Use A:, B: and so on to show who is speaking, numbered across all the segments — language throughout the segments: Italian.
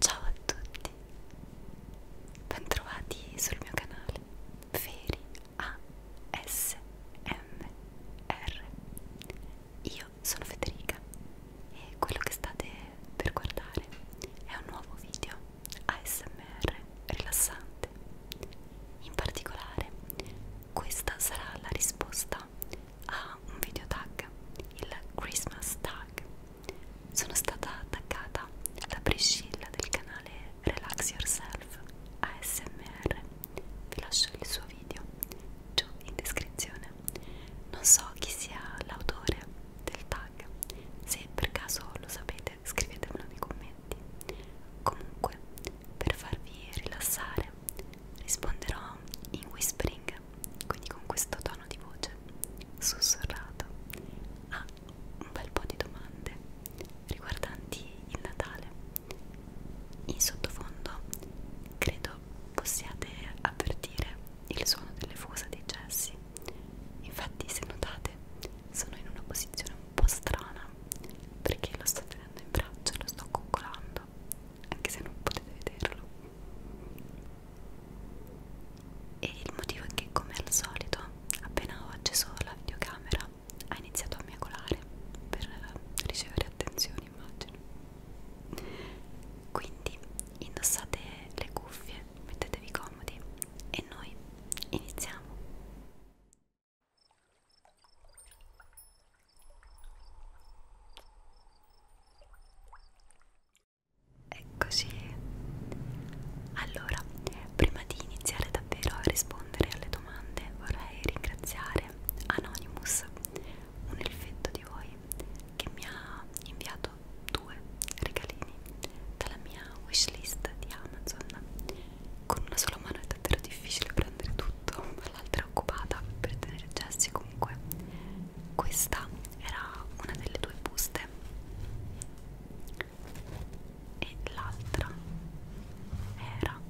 A: Ciao a tutti, bentrovati sul mio canale Feri ASMR. Io sono Federica e quello che state per guardare è un nuovo video ASMR rilassante. In particolare, questa sarà la risposta realtà ha un video tag, il Christmas tag. Sono stata taggata da Priscilla del canale Relax Yourself ASMR. Vi lascio il suo video giù in descrizione. Non so chi sia l'autore del tag, se per caso lo sapete scrivetemelo nei commenti. Comunque, per farvi rilassare, risponderò in whispering quindi con questo tono di voce sussurrato a un bel po' di domande riguardanti il Natale. In sottofondo credo possiate avvertire il suono delle fusa dei gessi. Infatti, se notate, sono in una posizione un po' strana perché lo sto tenendo in braccio, lo sto coccolando anche se non potete vederlo e il motivo è che come al solito appena ho acceso la videocamera ha iniziato a miagolare per ricevere attenzione immagino quindi indossate le cuffie mettetevi comodi e noi iniziamo Eccoci. Allora, prima di iniziare davvero a rispondere alle domande, vorrei ringraziare Anonymous, un elfetto di voi, che mi ha inviato due regalini dalla mia wishlist di Amazon. Con una sola mano è davvero difficile prendere tutto, ma l'altra è occupata per tenere Jesse comunque questa era una delle due buste e l'altra era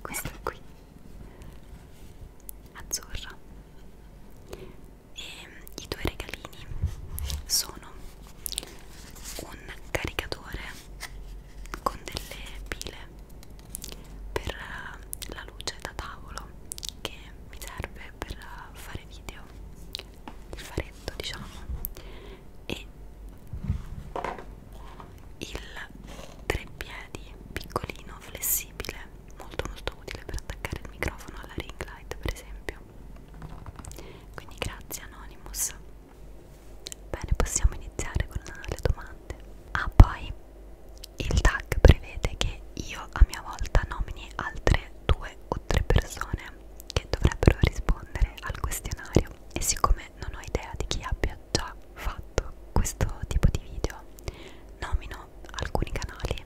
A: questa qui azzurra e i due regalini sono un caricatore con delle pile per eh, la luce da tavolo che mi serve per eh, fare video il faretto diciamo e il tre piedi piccolino flessibile molto molto utile per attaccare il microfono alla ring light per esempio quindi grazie Anonymous bene possiamo iniziare con le domande ah poi il tag prevede che io a mia volta nomini altre due o tre persone che dovrebbero rispondere al questionario e siccome non ho idea di chi abbia già fatto questo tipo di video, nomino alcuni canali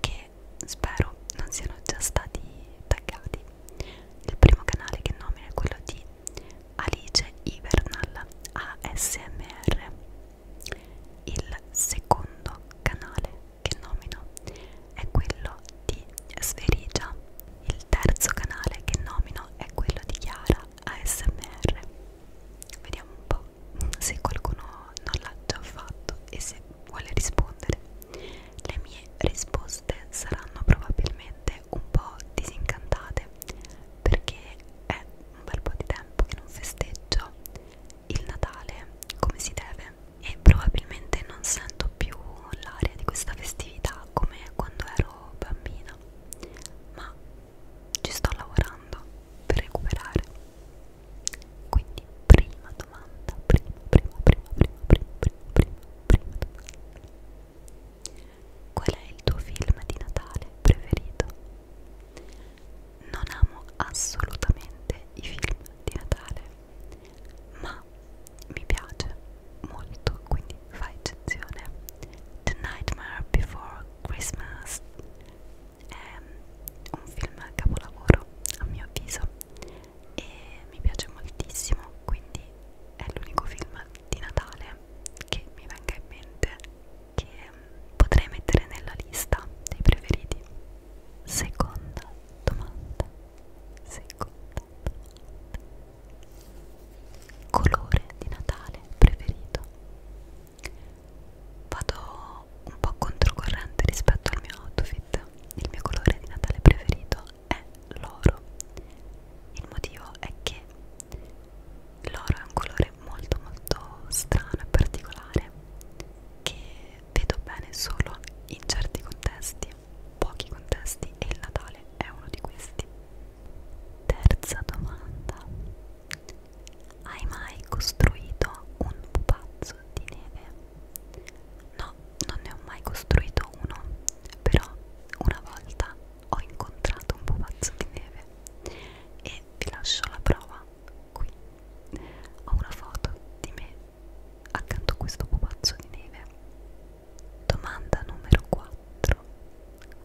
A: che spero non siano già stati taggati. Il primo canale che nomino è quello di Alice Ivernal ASMR il secondo canale che nomino è quello di Sverigia il terzo canale che nomino è quello di Chiara ASMR vediamo un po' se qualcuno non l'ha già fatto e se vuole rispondere le mie risposte saranno probabilmente un po' disincantate perché è un bel po' di tempo che non festeggio il Natale come si deve e probabilmente non sento più l'aria di questa festività come quando ero bambina ma ci sto lavorando per recuperare quindi prima domanda prima prima prima prima prima prima prima prima domanda Qual è il tuo film di Natale preferito? Non amo assolutamente i film di Natale, ma mi piace molto, quindi fa eccezione. The Nightmare Before Christmas è un film capolavoro, a mio avviso, e mi piace moltissimo, quindi è l'unico film di Natale che mi venga in mente che potrei mettere nella lista dei preferiti. Seconda domanda. Seconda domanda. Colore di Natale preferito. Vado un po' controcorrente rispetto al mio outfit. Il mio colore di Natale preferito è l'oro. Il motivo è che l'oro è un colore molto molto strano e particolare che vedo bene solo in certi contesti, pochi contesti e il Natale è uno di questi. Terza domanda. Hai mai costruito un pupazzo di neve? No, non ne ho mai costruito uno, però una volta ho incontrato un pupazzo di neve e vi lascio la prova qui ho una foto di me accanto a questo pupazzo di neve domanda numero 4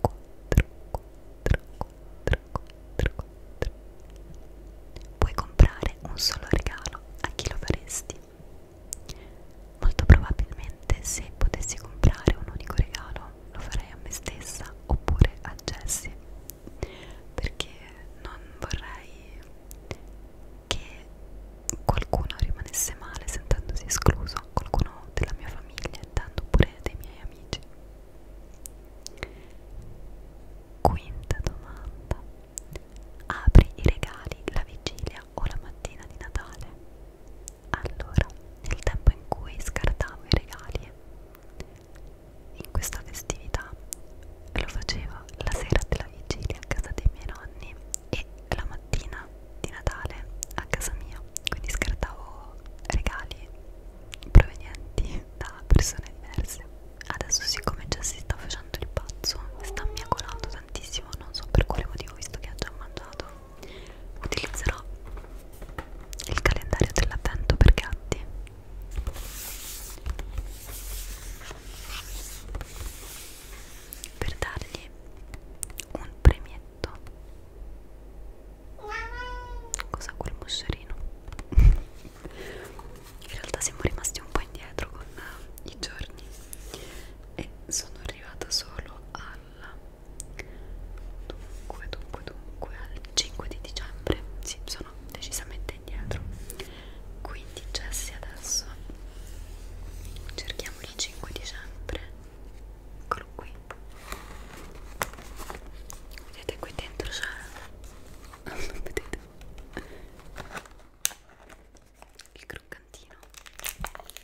A: 4 4 4 4 4 puoi comprare un solo regalo a chi lo faresti Molto probabilmente se potessi comprare un unico regalo lo farei a me stessa oppure a Jessie perché non vorrei che qualcuno rimanesse male sentendosi escluso, qualcuno della mia famiglia e tanto pure dei miei amici. Quinta domanda. Apri i regali la vigilia o la mattina di Natale? Allora, nel tempo in cui scartavo i regali, in questa festività lo facevo la sera della vigilia a casa dei miei nonni e la mattina di Natale a casa mia, quindi scartavo regali provenienti da persone diverse. Adesso siccome già si sta facendo il pazzo, sta miacolando tantissimo, non so per quale motivo visto che ha già mangiato, utilizzerò il calendario dell'avvento per gatti per dargli un premietto cosa quel moscerino in realtà siamo rimasti un po' indietro con i giorni e sono arrivata solo alla Dunque, dunque, dunque, al 5 di dicembre sì, sono decisamente indietro. Quindi, Jessie, adesso cerchiamo il 5 dicembre. Eccolo qui. Vedete qui dentro c'è. Non vedete il croccantino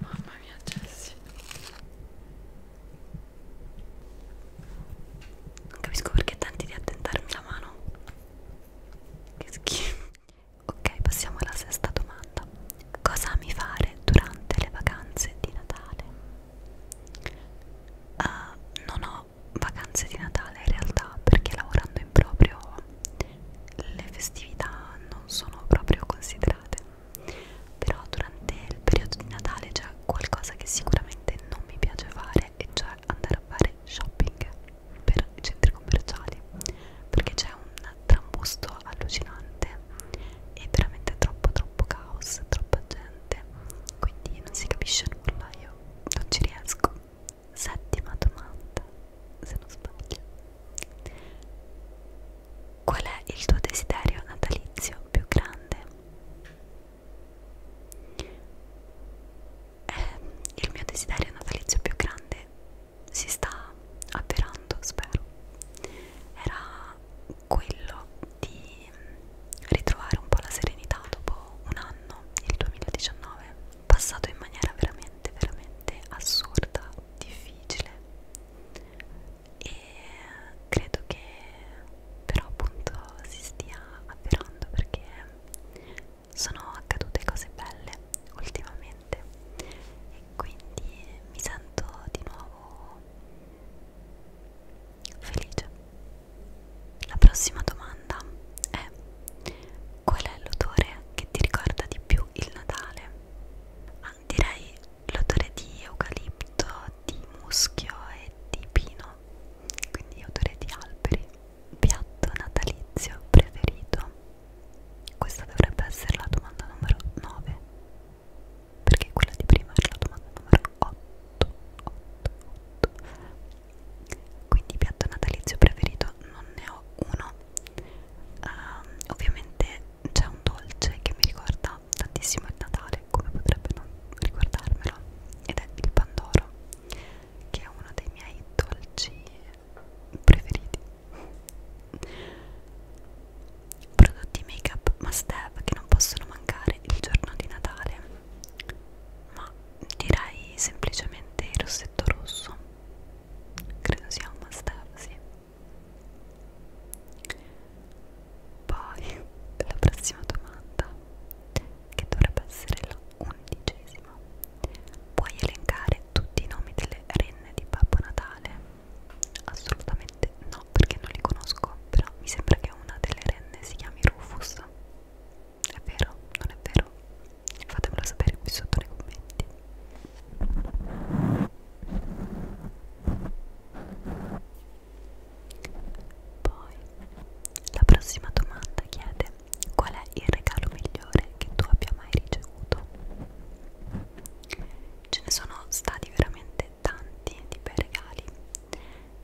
A: Mamma mia Jessie Non capisco perché tenti di attentarmi la mano Che schifo Ok passiamo alla sesta domanda Cosa ami fare durante le vacanze di Natale? Uh, non ho vacanze di Natale in realtà perché lavorando in proprio le festività non sono proprio considerate però durante il periodo di Natale c'è qualcosa che sicuramente non mi piace fare e cioè andare a fare shopping per i centri commerciali perché c'è un trambusto allucinante e veramente troppo troppo caos troppa gente quindi non si capisce nulla io non ci riesco settima domanda se non sbaglio qual è il tuo desiderio natalizio più grande? Eh, il mio desiderio natalizio più grande si sta avverando spero era quello di ritrovare un po' la serenità dopo un anno il 2019 passato in maniera veramente veramente assurda difficile e credo che però appunto si stia avverando perché sono accadute cose belle ultimamente e quindi mi sento di nuovo felice la prossima domanda è qual è l'odore che ti ricorda di più il Natale direi l'odore di eucalipto, di muschio e di pino, quindi odore di alberi. Piatto natalizio preferito? Questa dovrebbe essere la domanda numero 9, perché quella di prima era la domanda numero 8. 8, 8. Quindi piatto natalizio preferito non ne ho uno, um, ovviamente c'è un dolce che mi ricorda tantissimo il Natale come potrebbe non ricordarmelo ed è il pandoro che è uno dei miei dolci preferiti prodotti make up must have che non possono mancare il giorno di Natale ma direi semplicemente il rossetto rosso credo sia un must have, sì. Poi la prossima domanda, che dovrebbe essere la undicesima, puoi elencare tutti i nomi delle renne di Babbo Natale? Assolutamente no, perché non li conosco, però mi sembra che una delle renne si chiami Rufus. È vero? Non è vero? fatemelo sapere qui sotto nei commenti poi la prossima domanda chiede qual è il regalo migliore che tu abbia mai ricevuto ce ne sono stati veramente tanti di bei regali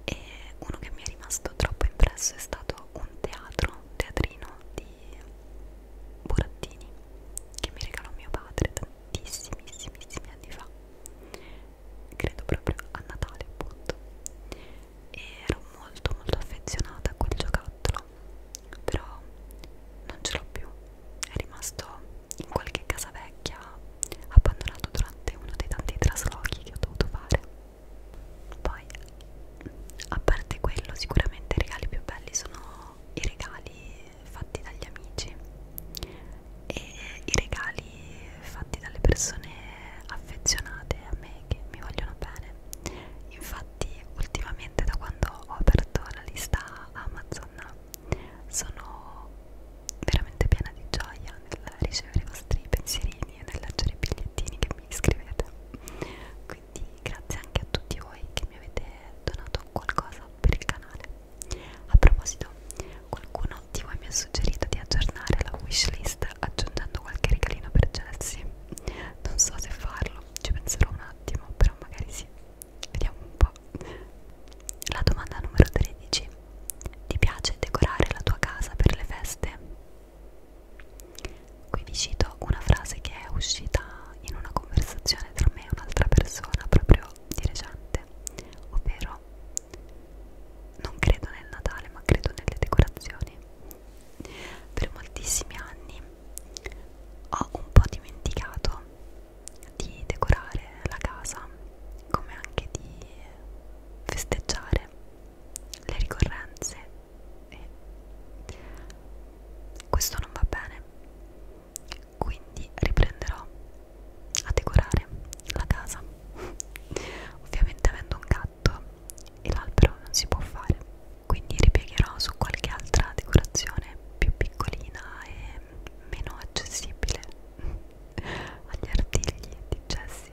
A: e uno che mi è rimasto troppo impresso è stato un teatro, un teatrino di burattini che mi regalò mio padre tantissimissimi anni fa credo proprio a Natale appunto e ero molto molto affezionata a quel giocattolo però non ce l'ho più è rimasto in qualche casa vecchia abbandonato durante uno dei tanti traslochi che ho dovuto fare poi a parte quello sicuramente i regali più belli sono i regali fatti dagli amici e i regali fatti dalle persone affezionate a me che mi vogliono bene. Infatti ultimamente da quando ho aperto la lista Amazon sono veramente piena di gioia nel ricevere i vostri pensierini e nel leggere i bigliettini che mi scrivete. Quindi quindi grazie anche a tutti voi che mi avete donato qualcosa per il canale a proposito qualcuno di voi mi ha suggerito di aggiornare la wishlist aggiungendo qualche regalino per Jesse non so se farlo ci penserò un attimo però magari sì vediamo un po' la domanda numero 13 ti piace decorare la tua casa per le feste? Qui vi cito una frase che è uscita in una conversazione tra me e un'altra persona proprio di recente, ovvero non credo nel Natale ma credo nelle decorazioni. Per moltissimi anni ho un po' dimenticato di decorare la casa, come anche di festeggiare le ricorrenze e eh, questo non va bene quindi riprenderò a decorare la casa ovviamente avendo un gatto e l'albero non si può fare quindi ripiegherò su qualche altra decorazione più piccolina e meno accessibile agli artigli di Jessie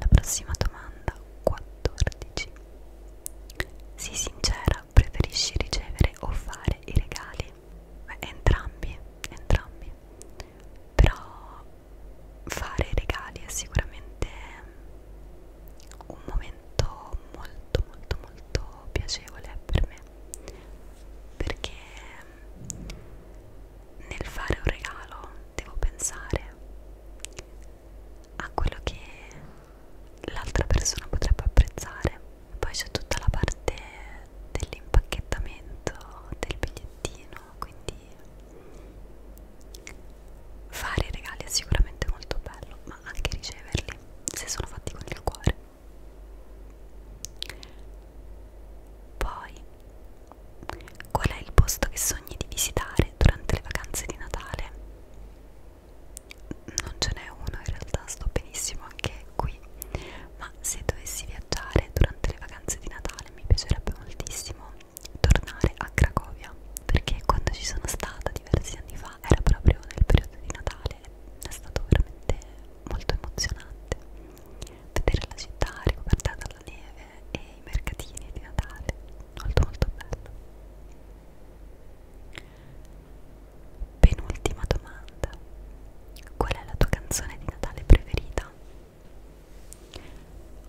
A: la prossima domanda 14. Sii sincera, preferisci ricevere o fare i regali? Beh, entrambi, entrambi. Però fare i regali è sicuramente un momento molto molto molto piacevole per me perché nel fare un regalo devo pensare a quello che l'altra persona potrebbe apprezzare poi c'è tutta la parte dell'impacchettamento del bigliettino quindi fare i regali è sicuramente molto bello ma anche riceverli se sono fatti con il cuore poi Qual è il posto che sogni di visitare durante le vacanze di Natale? Non ce n'è uno, in realtà sto benissimo anche qui, ma se dovessi viaggiare durante le vacanze di Natale mi piacerebbe moltissimo tornare a Cracovia, perché quando ci sono stata diversi anni fa era proprio nel periodo di Natale, è stato veramente molto emozionante vedere la città ricoperta dalla neve e i mercatini di Natale, molto molto bello. Penultima domanda, qual è la tua canzone di Natale preferita?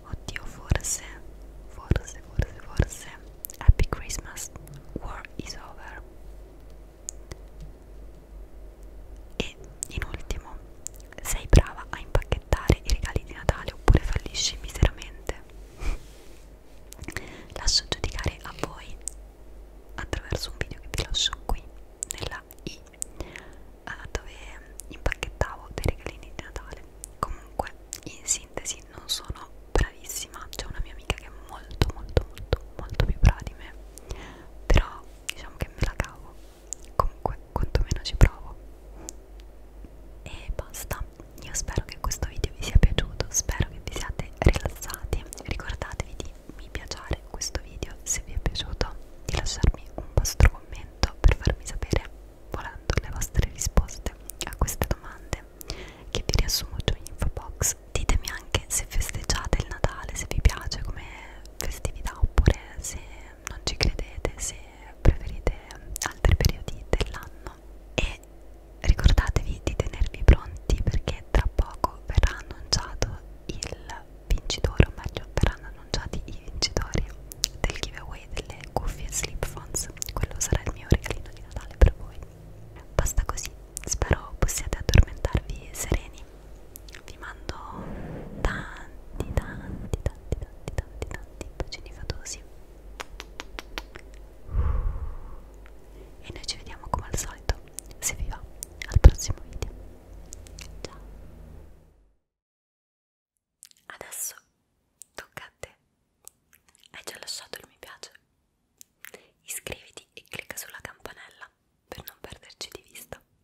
A: Oddio, forse, forse, forse, forse, Happy Christmas, War is Over. E in ultimo, sei brava a impacchettare i regali di Natale oppure fallisci miseramente? Lascio giudicare a voi attraverso un video che vi lascio qui nella i dove impacchettavo dei regalini di Natale. Comunque, in sintesi, non sono bravissima. C'è una mia amica che è molto, molto, molto, molto più brava di me. Però, diciamo che me la cavo comunque quantomeno ci provo e basta io spero che questo video vi sia piaciuto spero che vi siate rilassati ricordatevi di mi piacere questo video se vi è piaciuto di lasciarmi un vostro commento per farmi sapere volendo le vostre risposte a queste domande che vi riassumo giù in info box ditemi anche se festeggiate il Natale se vi piace come festività oppure se non ci credete se preferite altri periodi dell'anno e ricordatevi di tenervi pronti perché tra poco verrà annunciato il vincitore o meglio verranno annunciati i vincitori del giveaway delle cuffie Sleep Phones quello sarà il mio regalino di Natale per voi basta così spero possiate addormentarvi sereni vi mando tanti tanti tanti tanti tanti tanti tanti bacini fatosi e noi ci vediamo come al solito se vi va al prossimo video ciao adesso tocca a te hai già lasciato il mi piace iscriviti e clicca sulla campanella per non perderci di vista